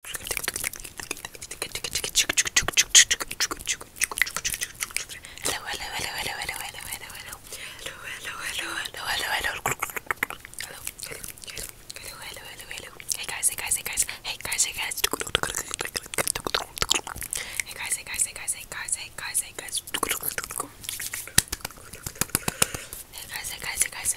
Hello, hello, hello, hello, hello, hello, hello, hello. Hello, hello, hello, hello, hello, hello. Hello, hello, hello, hello, hello, hello. Hey guys, hey guys, hey guys, hey guys, hey guys. Hey guys, hey guys, hey guys, hey guys, hey guys, hey guys. Hey guys, hey guys, hey guys.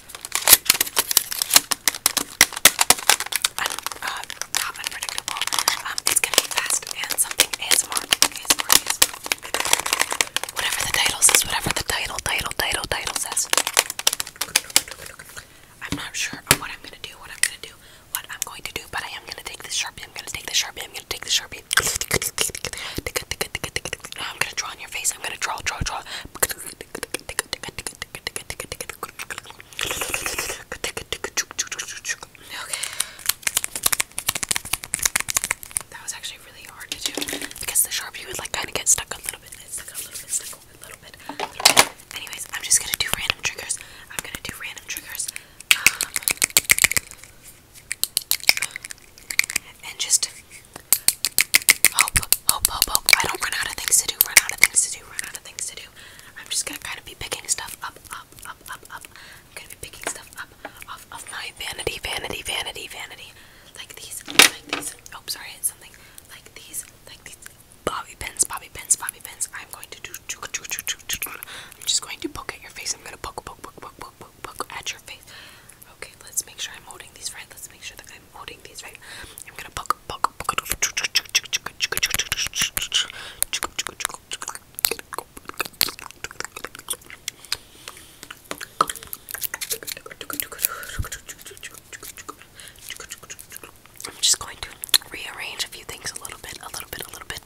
Un not unpredictable. Um, it's gonna be fast and something ASMR. ASMR, Whatever the title says, whatever the title, title, title, title says. I'm not sure of what I'm gonna do, what I'm gonna do, what I'm going to do, but I am gonna take this sharpie. I'm gonna take this sharpie. I'm gonna take this sharpie. I'm gonna draw on your face. I'm gonna draw, draw, draw. That was actually really hard to do because the sharpie would like kind of get stuck a little bit. It's stuck a little bit, stuck a little bit, a little Anyways, I'm just gonna do random triggers. I'm gonna do random triggers. Um, and just hope, hope, hope, hope. I don't run out of things to do, run out of things to do, run out of things to do. I'm just gonna kind of be picking stuff up, up, up, up, up. I'm gonna be picking stuff up off of my vanity, vanity, vanity, vanity. Like these, like these. Oh, sorry, hit something. Like these, like these. Bobby pins, bobby pins, bobby pins. I'm going to do. I'm just going to poke at your face. I'm gonna poke, poke, poke, poke, poke poke, poke, at your face. Okay, let's make sure I'm holding these right. Let's make sure that I'm holding these right. I'm gonna poke, poke, poke. I'm just going to rearrange a few things a little bit, a little bit, a little bit.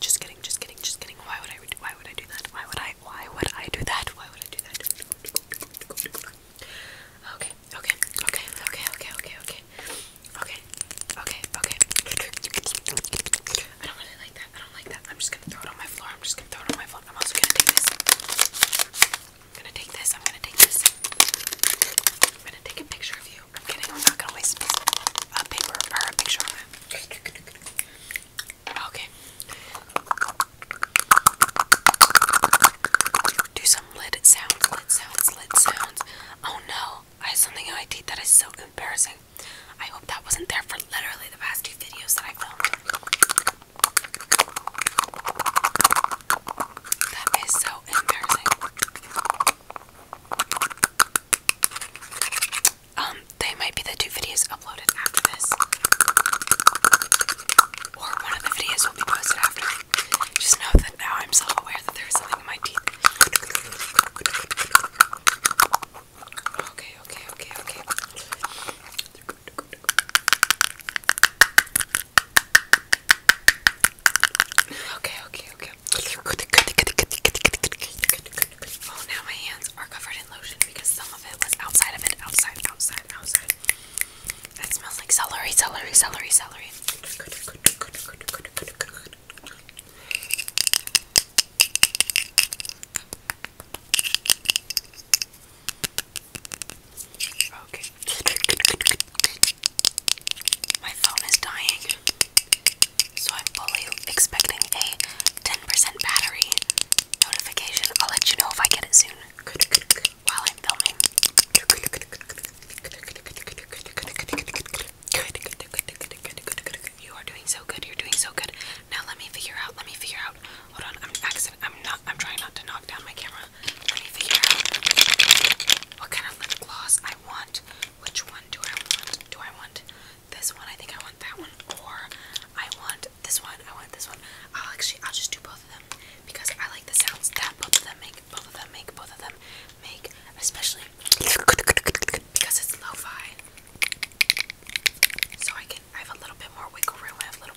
Just kidding, just kidding, just kidding. Why would I why would I do that? Why would I why would I do that? Why would I do that? Okay, okay, okay, okay, okay, okay, okay. Okay, okay, I don't really like that. I don't like that. I'm just gonna throw it on my floor. I'm just gonna throw it on my floor. I'm also gonna take this. I'm gonna take this. I'm gonna take this. I'm gonna take a picture of you. I'm kidding. I'm not gonna waste a paper or a picture on that. Okay. Do some lid sounds, lid sounds, lid sounds. Oh no, I have something in my that is so embarrassing. I hope that wasn't there for literally the past two videos that I filmed. That is so embarrassing. Um, they might be the two videos uploaded after this. Or one of the videos will be posted after. Just know that now I'm self aware that there is something in my teeth. Okay, okay, okay, okay. Okay, okay, okay. Oh, now my hands are covered in lotion because some of it was outside of it. Outside, outside, outside. It smells like celery, celery, celery, celery. Okay. My phone is dying, so I'm fully expecting a 10% battery notification. I'll let you know if I get it soon while I'm filming. You are doing so good. You're doing so good. Now let me figure out. Let me figure out. Hold on. accident. I'm not. I'm trying not to knock down my camera let me figure out what kind of lip gloss I want. Which one do I want? Do I want this one? I think I want that one. Or I want this one. I want this one. I'll actually I'll just do both of them because I like the sounds that both of them make. Both of them make. Both of them make. Especially because it's lo-fi, so I can I have a little bit more wiggle room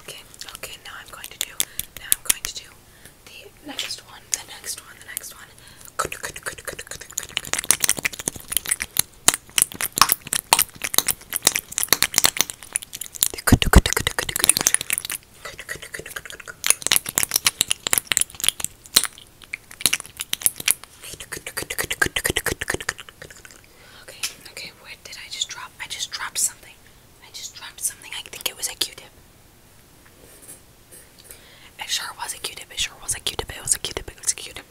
Okay, okay, now I'm going to do, now I'm going to do the next one, the next one, the next one. Okay, okay, where did I just drop drop. I just dropped something. I just dropped something. I think it was a Q-tip. It sure was a Q-tip. It sure was a Q-tip. It was a Q-tip. It was a Q-tip.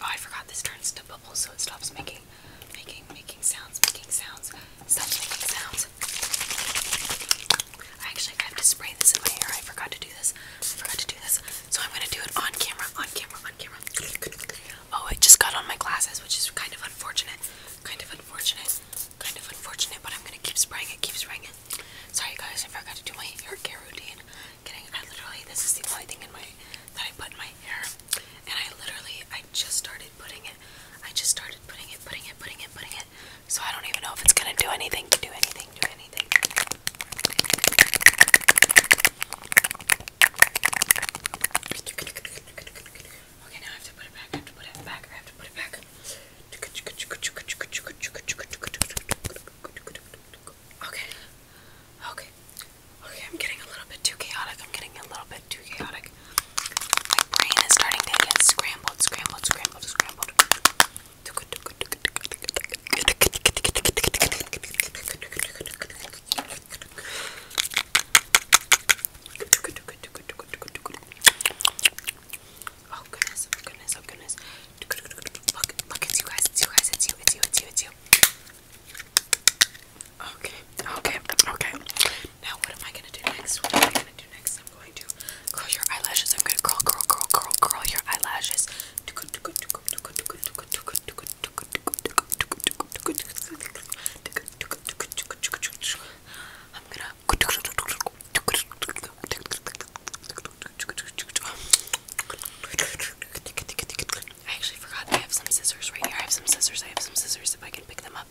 Oh, I forgot this turns to bubbles, so it stops making, making, making sounds, making sounds, stops making sounds. I actually have to spray this in my hair. I forgot to do this. I forgot to do this. So I'm gonna do it on camera, on camera, on camera. Oh, it just got on my glasses, which is kind of unfortunate. Kind of unfortunate. Kind of unfortunate, but I'm gonna keep spraying it, keep spraying it. Sorry guys, I forgot to do my hair care routine. Getting I literally this is the only thing in my that I put in my hair. And I literally I just started putting it. I just started putting it, putting it, putting it, putting it, so I don't even know if it's gonna do anything, do anything, do anything. Okay, now I have to put it back, I have to put it back, I have to put it back. Okay. Okay. Okay, I'm getting a little bit too chaotic. I'm getting a little bit too chaotic. My brain is starting to get scrambled, scrambled, scrambled scrambled, scrambled. Oh goodness, oh goodness, oh goodness. Look, look, it's you guys, it's you guys, it's you, it's you, it's you, it's you. Okay, okay, okay. Now, what am I gonna do next? What am I gonna do next? I'm going to curl your eyelashes. I'm gonna curl, curl, curl, curl, curl your eyelashes. I'm gonna. I actually forgot I have some scissors right here. I have some scissors. I have some scissors. If I can pick them up,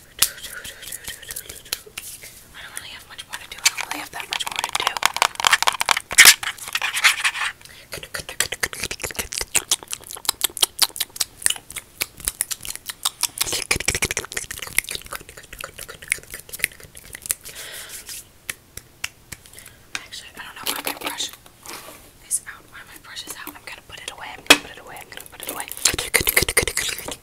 I don't really have much more to do. I don't really have that much more to do. Actually, I don't know why my brush is out. Why my brush is out. I'm gonna put it away. I'm gonna put it away. I'm gonna put it away.